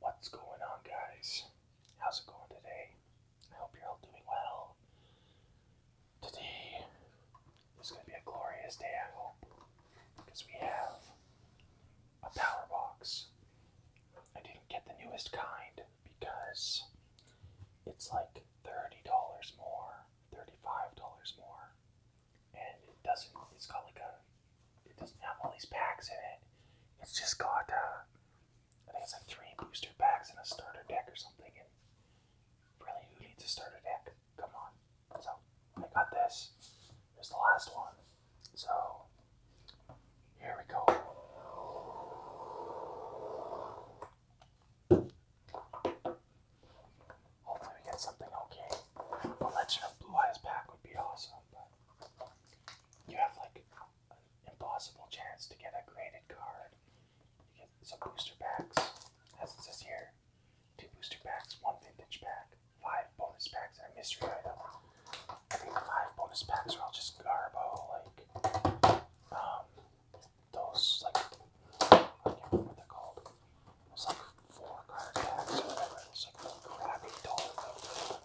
What's going on, guys? How's it going today? I hope you're all doing well. Today is going to be a glorious day, I hope, because we have a power box. I didn't get the newest kind because it's like $30 more, $35 more and it doesn't. It's got like a. It doesn't have all these packs in it. It's just got. Uh, I think it's like three booster packs and a starter deck or something. And really, who needs a starter deck? Come on. So I got this. Here's the last one. So here we go. Hopefully we get something okay. A Legend of Blue Eyes pack would be awesome, you have like an impossible chance to get a graded card. You get some booster packs, as it says here. Two booster packs, one vintage pack, five bonus packs, and a mystery item. I think the five bonus packs are all just garbo, like um, those like I can't remember what they're called. Those like four card whatever. It like really crappy whatever.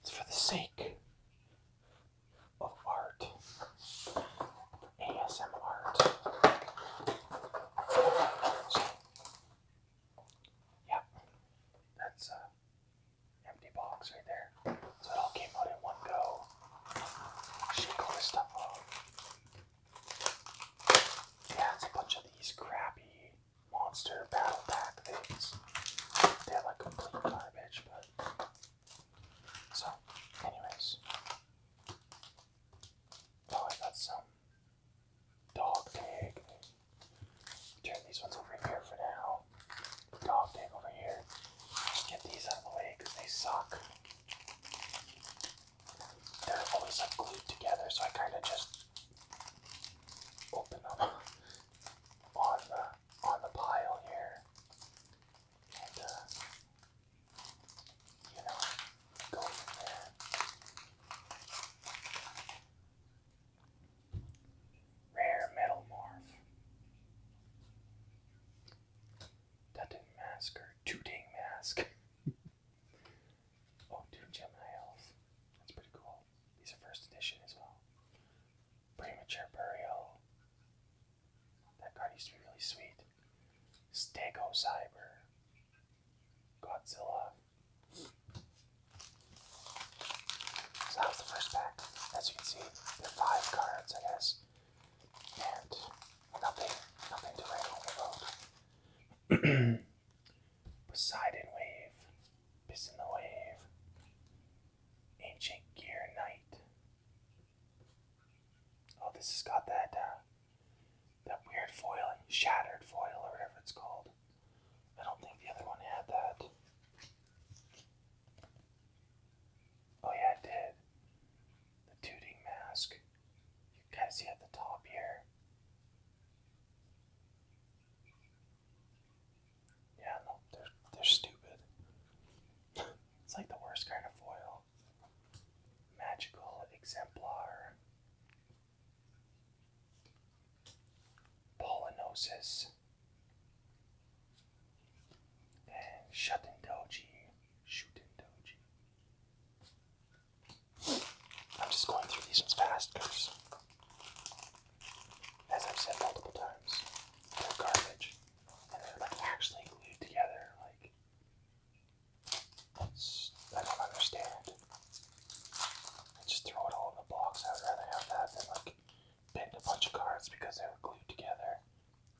It's for the sake of art. ASM art. That's a uh, empty box right there. So it all came out in one go. Shake all this yeah, it's a bunch of these crappy monster battle pack things. They're like complete garbage, but. So, anyways. Oh, I got some dog tag. Turn these ones over here for now. Dog tag over here. Get these out of the way because they suck they're always like glued together, so I kind of just open them on the on the pile here, and uh, you know, go from there. Rare metal morph. That did Tooting mask. Oh, two Gemini elves. That's pretty cool. These are first edition as well. Premature Burial. That card used to be really sweet. Stego Cyber. Godzilla. So that was the first pack. As you can see, there are five cards, I guess. And nothing, nothing to write home about. Poseidon Wave, Piss in the Wave, Ancient Gear Knight. Oh, this has got that uh, that weird foil, shattered foil, or whatever it's called. I don't think the other one had that. Oh yeah, it did. The Tooting Mask you guys see at the top here. Yeah, no, they're they're stupid. it's like the worst kind of foil. Magical exemplar. Polynosis. And Shutin Doji. Shutin Doji. I'm just going through these ones fast because, as I've said multiple times, they're garbage and they're like actually glued together. Like, it's, I don't understand. I just throw it all in the box. I'd rather have that than like bend a bunch of cards because they were glued together.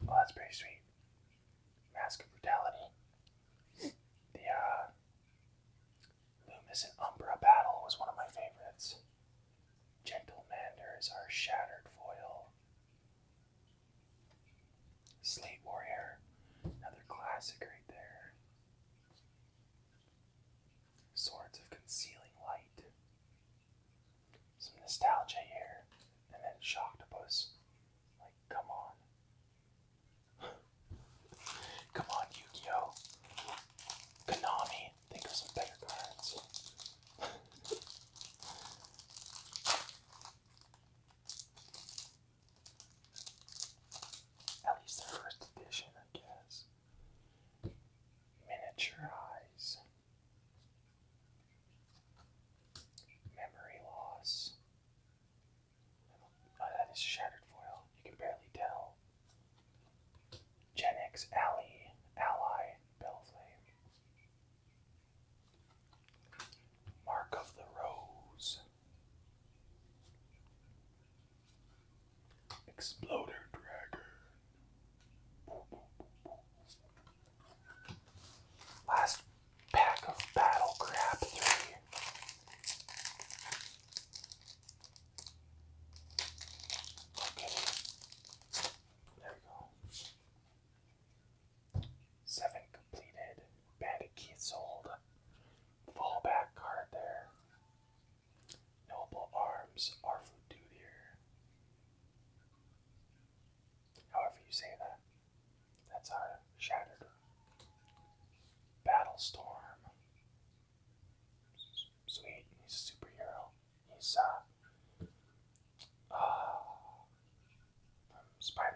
Well, that's pretty sweet. Mask of Brutality. The uh, Loomis and Umbra battle was one of my favorites. Gentle Manders are shattered foil. Slate Warrior, another classic right there. Swords of Concealing Light. Some nostalgia here. And then Shocktopus. Like, come on. Come on, yu Konami, think of some better cards. At least the first edition, I guess. Miniature Memory loss. Oh, that is shattered foil. You can barely tell. Gen X Ally, Bellflame. Mark of the Rose. Exploder Dragon. Last pack of battle crab three. Okay. There we go. Seven completed. Bandit sold. Fallback card there. Noble Arms are for dude However you say that. That's our shattered Battlestorm. Sweet, he's a superhero. He's uh, uh from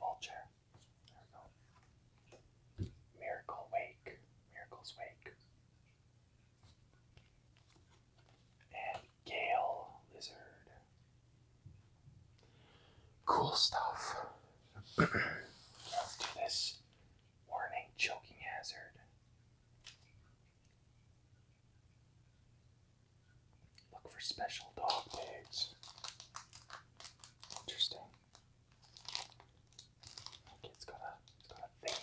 Vulture. Miracle Wake. Miracle's Wake. And Gale Lizard. Cool stuff. After this warning choking hazard. Look for special dog tags. Interesting. Okay, it's got a got a thing.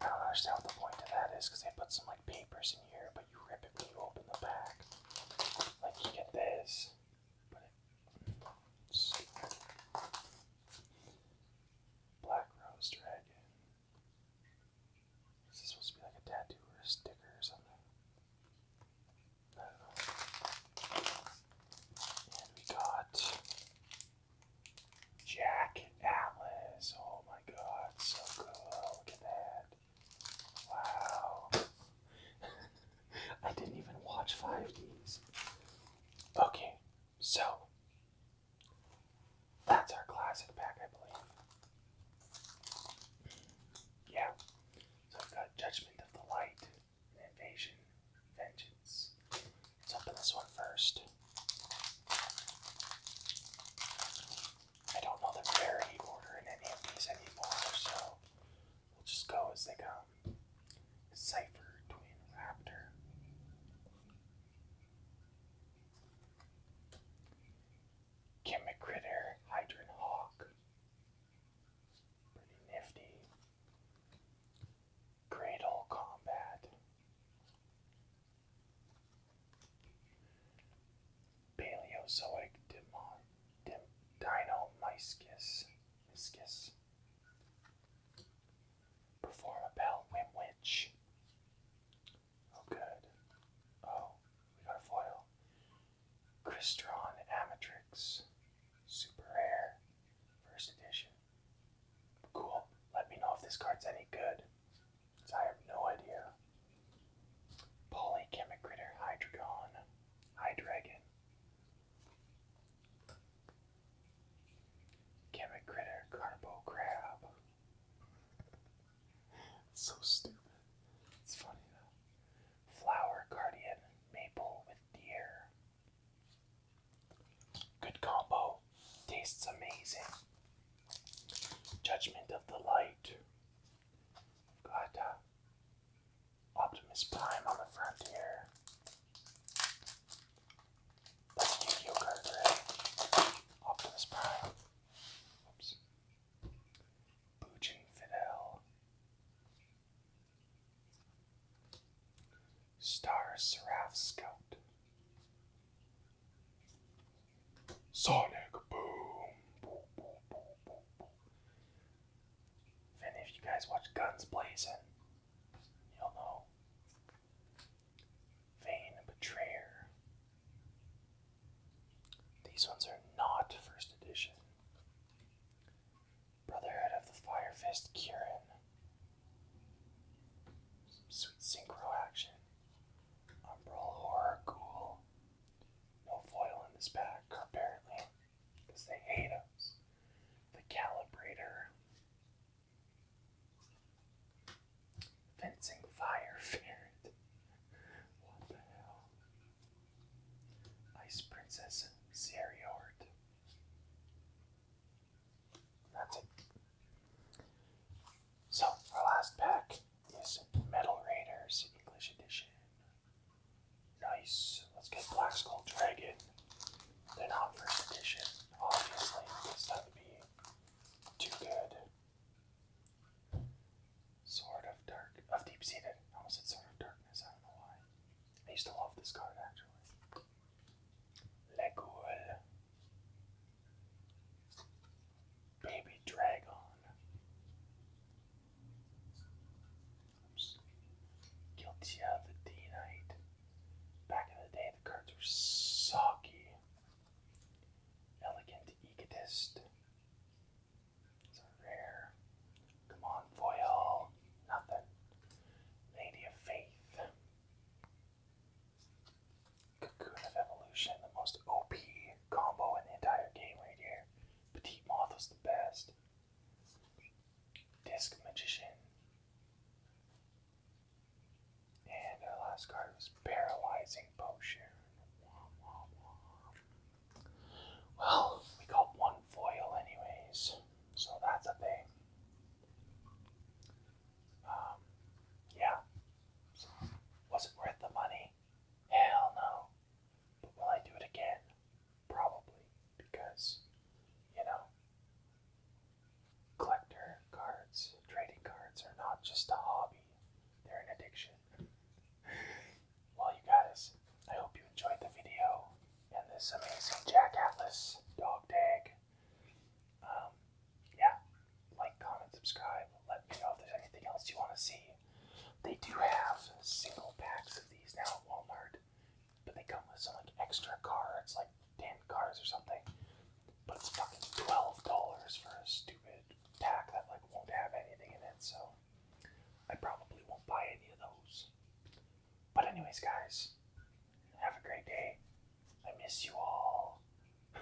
I don't understand what the point of that is because they put some like papers in here, you rip it you open the pack. Like you get this, Black Rose Dragon. Is this supposed to be like a tattoo or a sticker or something? And we got Jack Atlas. Oh my god, so cool. Look at that. Wow. I didn't even watch five Ds. Okay, so that's our classic pack, I believe. Yeah. So I've got Judgment of the Light, Invasion, Vengeance. Let's open this one first. I don't know the parity order in any of these anymore, so we'll just go as they come. Cipher Twin Raptor. Chemicritter Hydron Hawk. Pretty nifty. Cradle Combat. Paleozoic dimon, dim, Dino-Myscus miscus. Perform a bell Wimwitch. Oh, good. Oh, we got foil. Crystron Amatrix. Super rare. First edition. Cool. Let me know if this card's any good. I have no idea. Polychemicritter, Hydreigon, Hydreigon. Chemicritter, Carbo Crab. so stupid. It's funny though. Flower Guardian, Maple with Deer. Good combo. Tastes amazing. Judgment of the Light. Got uh, Optimus Prime on the front here. Optimus Prime. Oops. Boojin Fidel. Star Seraph Scout. Sonic boom. If you guys watch Guns Blazing, you'll know. Vain Betrayer. These ones are not first edition. Brotherhood of the Fire Fist Kieran. sweet synchro action. Umbral Horror Ghoul. No foil in this pack, apparently, because they hate us. The calibrator. Fencing fire ferret. What the hell? Ice Princess Seriort. That's it. So, our last pack is Metal Raiders English Edition. Nice. Let's get Black Skull Dragon. They're not first edition, obviously, This that to be too good. Sword of Dark of Deep Seated. I almost said Sword of Darkness, I don't know why. I used to love this card actually. Legoul. Baby Dragon. Guilty of the D Knight. Back in the day, the cards were soggy. Elegant Egotist. It's rare. Come on, foil. Nothing. Lady of Faith. Cocoon of Evolution, the most OP combo in the entire game right here. Petite Moth was the best. Disc Magician. And our last card was Paralyzing Potion. Well, we got one foil anyways, so that's a thing. Um, yeah, was it worth the money? Hell no. But will I do it again? Probably, because, you know, collector cards, trading cards are not just a hobby, they're an addiction. well, you guys, I hope you enjoyed the video and this amazing Jack Atlas dog tag. Um, yeah, like, comment, subscribe, let me know if there's anything else you want to see. They do have single packs of these now at Walmart, but they come with some like extra cards, like ten cards or something. But it's fucking twelve dollars for a stupid pack that like won't have anything in it, so I probably won't buy any of those. But anyways guys, have a great day. I miss you all.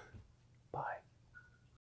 Bye.